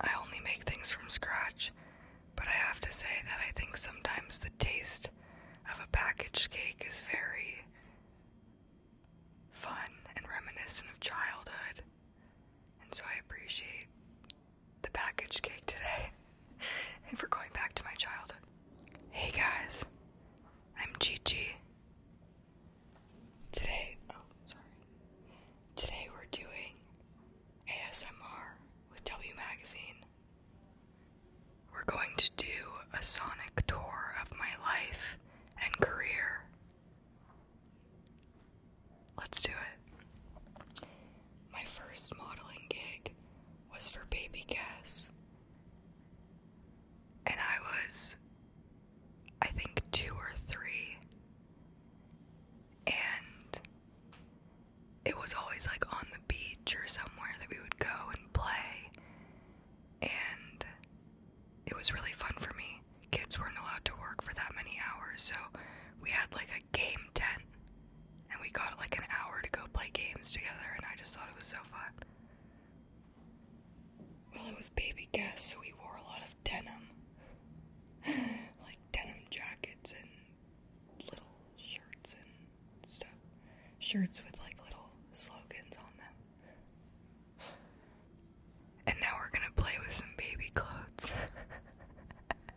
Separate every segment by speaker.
Speaker 1: I only make things from scratch, but I have to say that I think sometimes the taste of a packaged cake is very fun and reminiscent of childhood. And so I appreciate the packaged cake today and for going back to my childhood. Hey guys, I'm Gigi. Today, oh, sorry. Today we're doing ASMR with W Magazine. We're going to do a sonic tour of my life and career. Let's do it. My first modeling gig was for Baby Guess and I was, I think, two or three, and it was always like on the beach or somewhere that we would go and play, and it was really fun for me. Kids weren't allowed to work for that many hours, so we had like a game tent, and we got like an hour to go play games together, and I just thought it was so fun. Well, it was baby Gus, so he wore a lot of denim. like denim jackets and little shirts and stuff. Shirts with like little slogans on them. And now we're gonna play with some baby clothes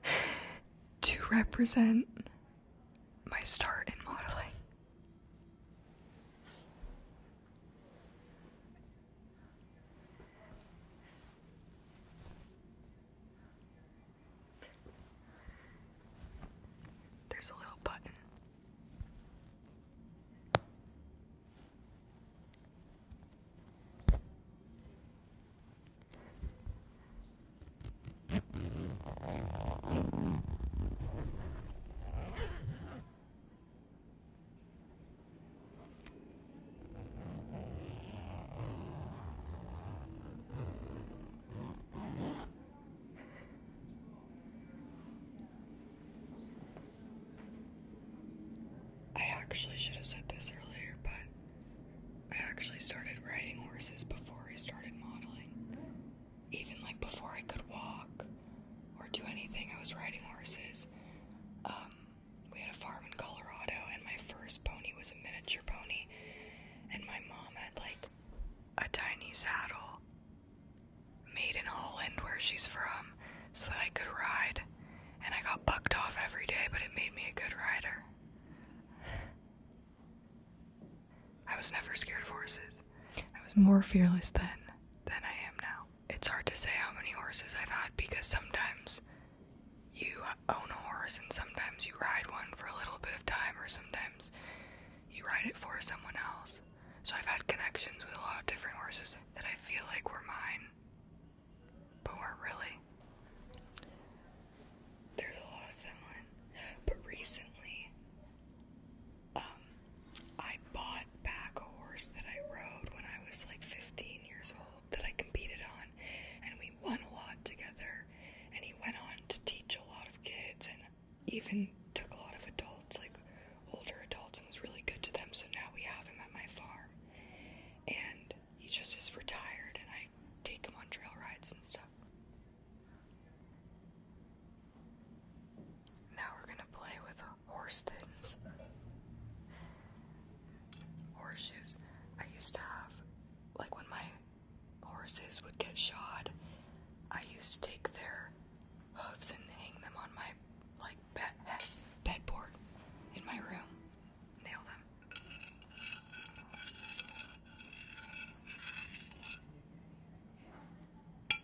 Speaker 1: to represent my start in modeling. There's a little button. I actually should have said this earlier, but I actually started riding horses before I started modeling even like before I could walk or do anything, I was riding horses. Um, we had a farm in Colorado, and my first pony was a miniature pony, and my mom had like a tiny saddle made in Holland, where she's from, so that I could ride. And I got bucked off every day, but it made me a good rider. I was never scared of horses. I was more fearless then than I am now. It's hard to say how many horses I've had because sometimes you own a horse and sometimes you ride one for a little bit of time or sometimes you ride it for someone else. So I've had connections with a lot of different horses that I feel like were mine but weren't really. There's a lot of them, but recently um, I bought back a horse that I rode when I was like 15 years old that I competed on, and we won a lot together. And he went on to teach a lot of kids and even took a lot of adults, like older adults, and was really good to them. So now we have him at my farm, and he just is retired, and I take him on trail rides and stuff. Now we're gonna play with horse things. Horseshoes. I used to have, like when my horses would get shod, I used to take their hooves and hang them on my like bed bedboard in my room. Nail them.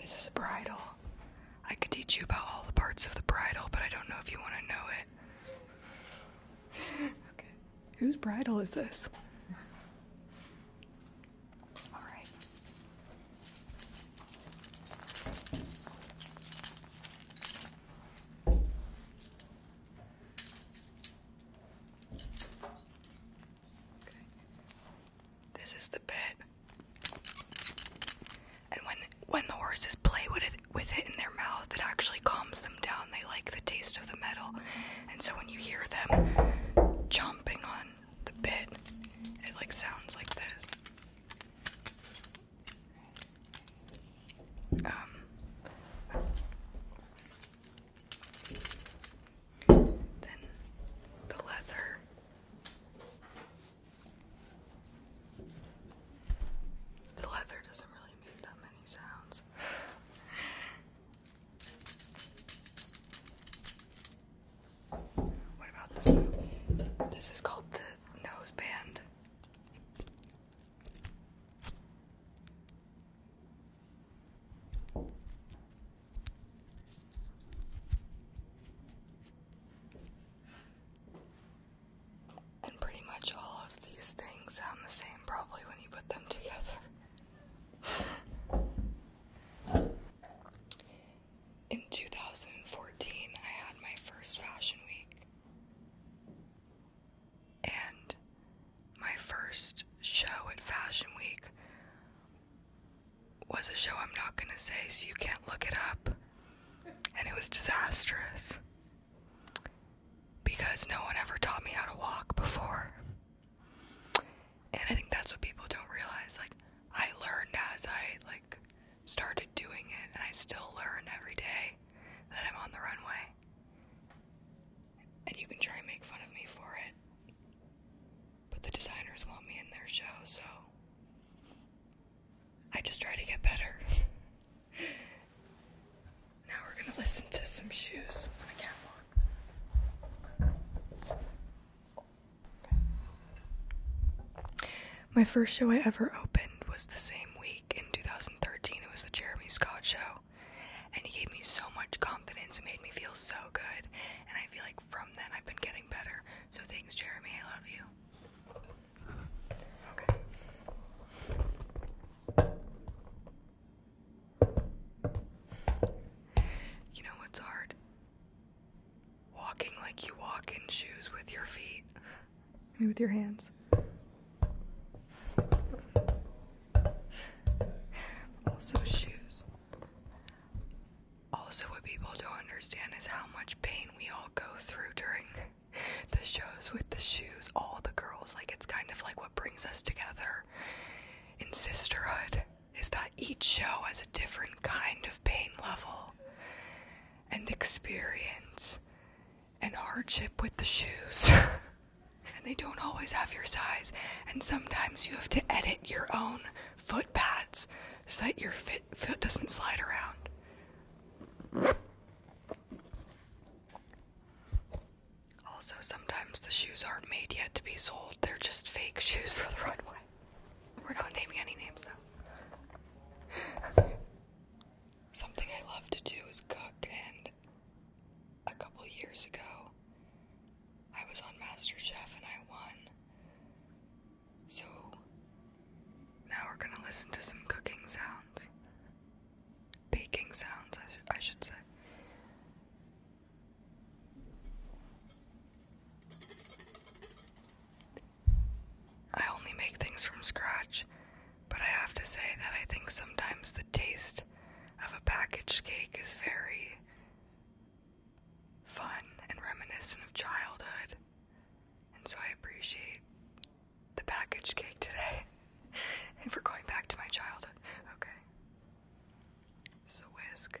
Speaker 1: this is a bridle. I could teach you about all the parts of the bridle, but I don't know if you want to know it. okay. Whose bridle is this? All right. This is the bit. And when when the horses play with it, with it in their mouth, it actually calms them down. They like the taste of the metal. And so when you hear them chomping on the bit, it like sounds like this. Um, then the leather. The leather doesn't really make that many sounds. What about this This is called the nose band. And pretty much all of these things sound the same probably when you put them together. In 2014, I had my first fashion week. And my first show at Fashion Week was a show I'm not going to say, so you can't look it up. And it was disastrous because no one ever taught me how to walk before. And I think that's what people don't realize. Like, I learned as I, like, started doing it, and I still learn every day that I'm on the runway. And you can try and make fun of me for it. But the designers want me in their show, so I just try to get better. now we're gonna listen to some shoes on a catwalk. My first show I ever opened was the same week in 2013. It was the Jeremy Scott show. And he gave me so much confidence. It made me feel so good. And I feel like from then I've been getting better. So thanks, Jeremy. I love you. You know what's hard? Walking like you walk in shoes with your feet with your hands. Also, shoes. Also, what people don't understand is how much pain we all go through during the shows with the shoes. All the girls, like, it's kind of like what brings us together in sisterhood is that each show has a different kind of pain level and experience and hardship with the shoes. and they don't always have your size, and sometimes you have to edit your own foot pads so that your fit, foot doesn't slide around. Also, sometimes the shoes aren't made yet to be sold, they're just fake shoes for the runway. We're not naming any names though. Something I love to do is cook, and a couple years ago, I was on MasterChef and I won. So, now we're gonna listen to some cooking sounds. Baking sounds, I, I should say. I only make things from scratch, but I have to say that I think sometimes the taste of a packaged cake is very fun and reminiscent of childhood. And so I appreciate the packaged cake today. and for going back to my childhood. Okay. This whisk.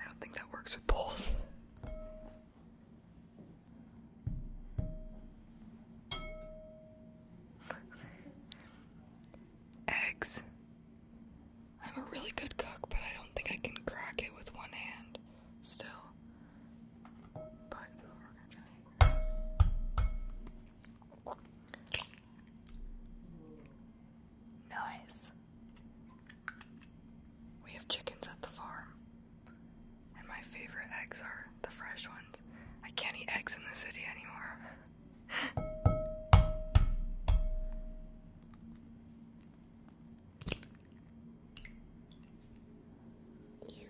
Speaker 1: I don't think that works with poles. Eggs. I'm a really good cook, but I don't think I can crack it with one hand still. But Nice. We have chickens at the farm, and my favorite eggs are the fresh ones. I can't eat eggs in the city anymore. you.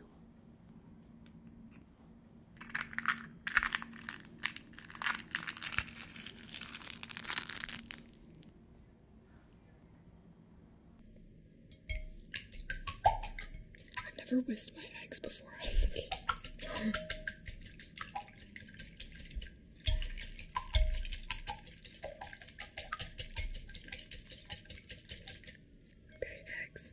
Speaker 1: I've never whisked my eggs before. okay, eggs.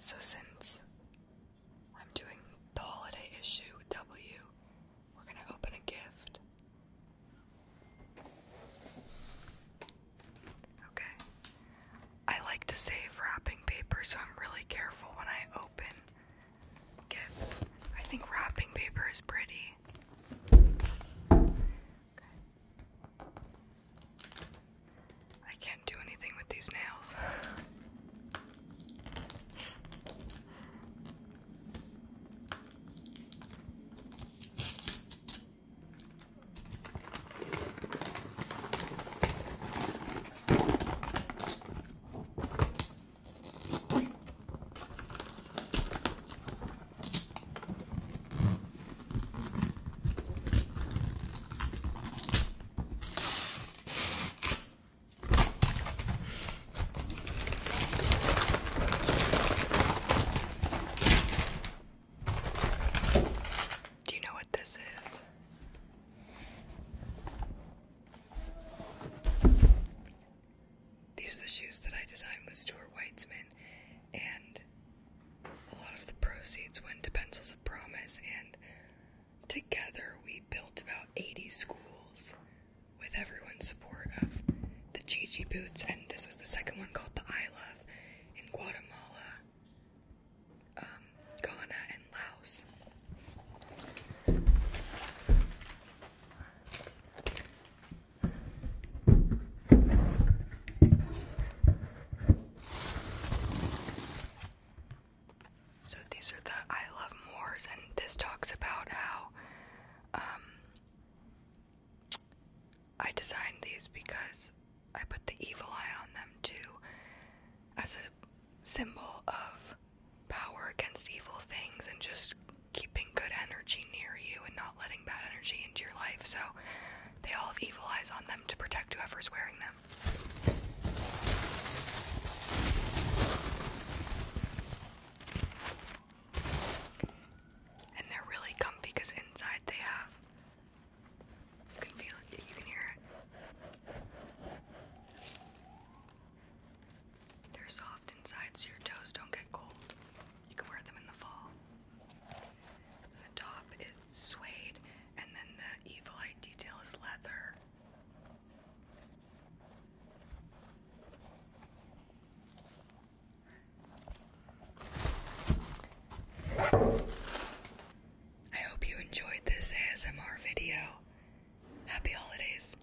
Speaker 1: So since I'm doing the holiday issue with W, we're going to open a gift. Okay. I like to save wrapping paper, so I'm really careful when I open gifts. I think wrapping paper is pretty. I can't do anything with these nails. Do you know what this is? These are the shoes that I designed with Stuart Weitzman, and a lot of the proceeds went to Pencils of Promise, and together we built about 80 schools with everyone's support of the Gigi boots, and this was the second one called the I Love in Guatemala, um, Ghana, and Laos. So these are the I Love Moors, and this talks about how um, I designed these because I put the evil eye on them too, as a symbol of power against evil things and just keeping good energy near you and not letting bad energy into your life. So they all have evil eyes on them to protect whoever's wearing them. And they're really comfy because inside they have. You can feel it, you can hear it. They're soft inside so your toes don't get cold. You can wear them in the fall. The top is suede, and then the evil eye detail is leather. I hope you enjoyed this ASMR video. Happy holidays.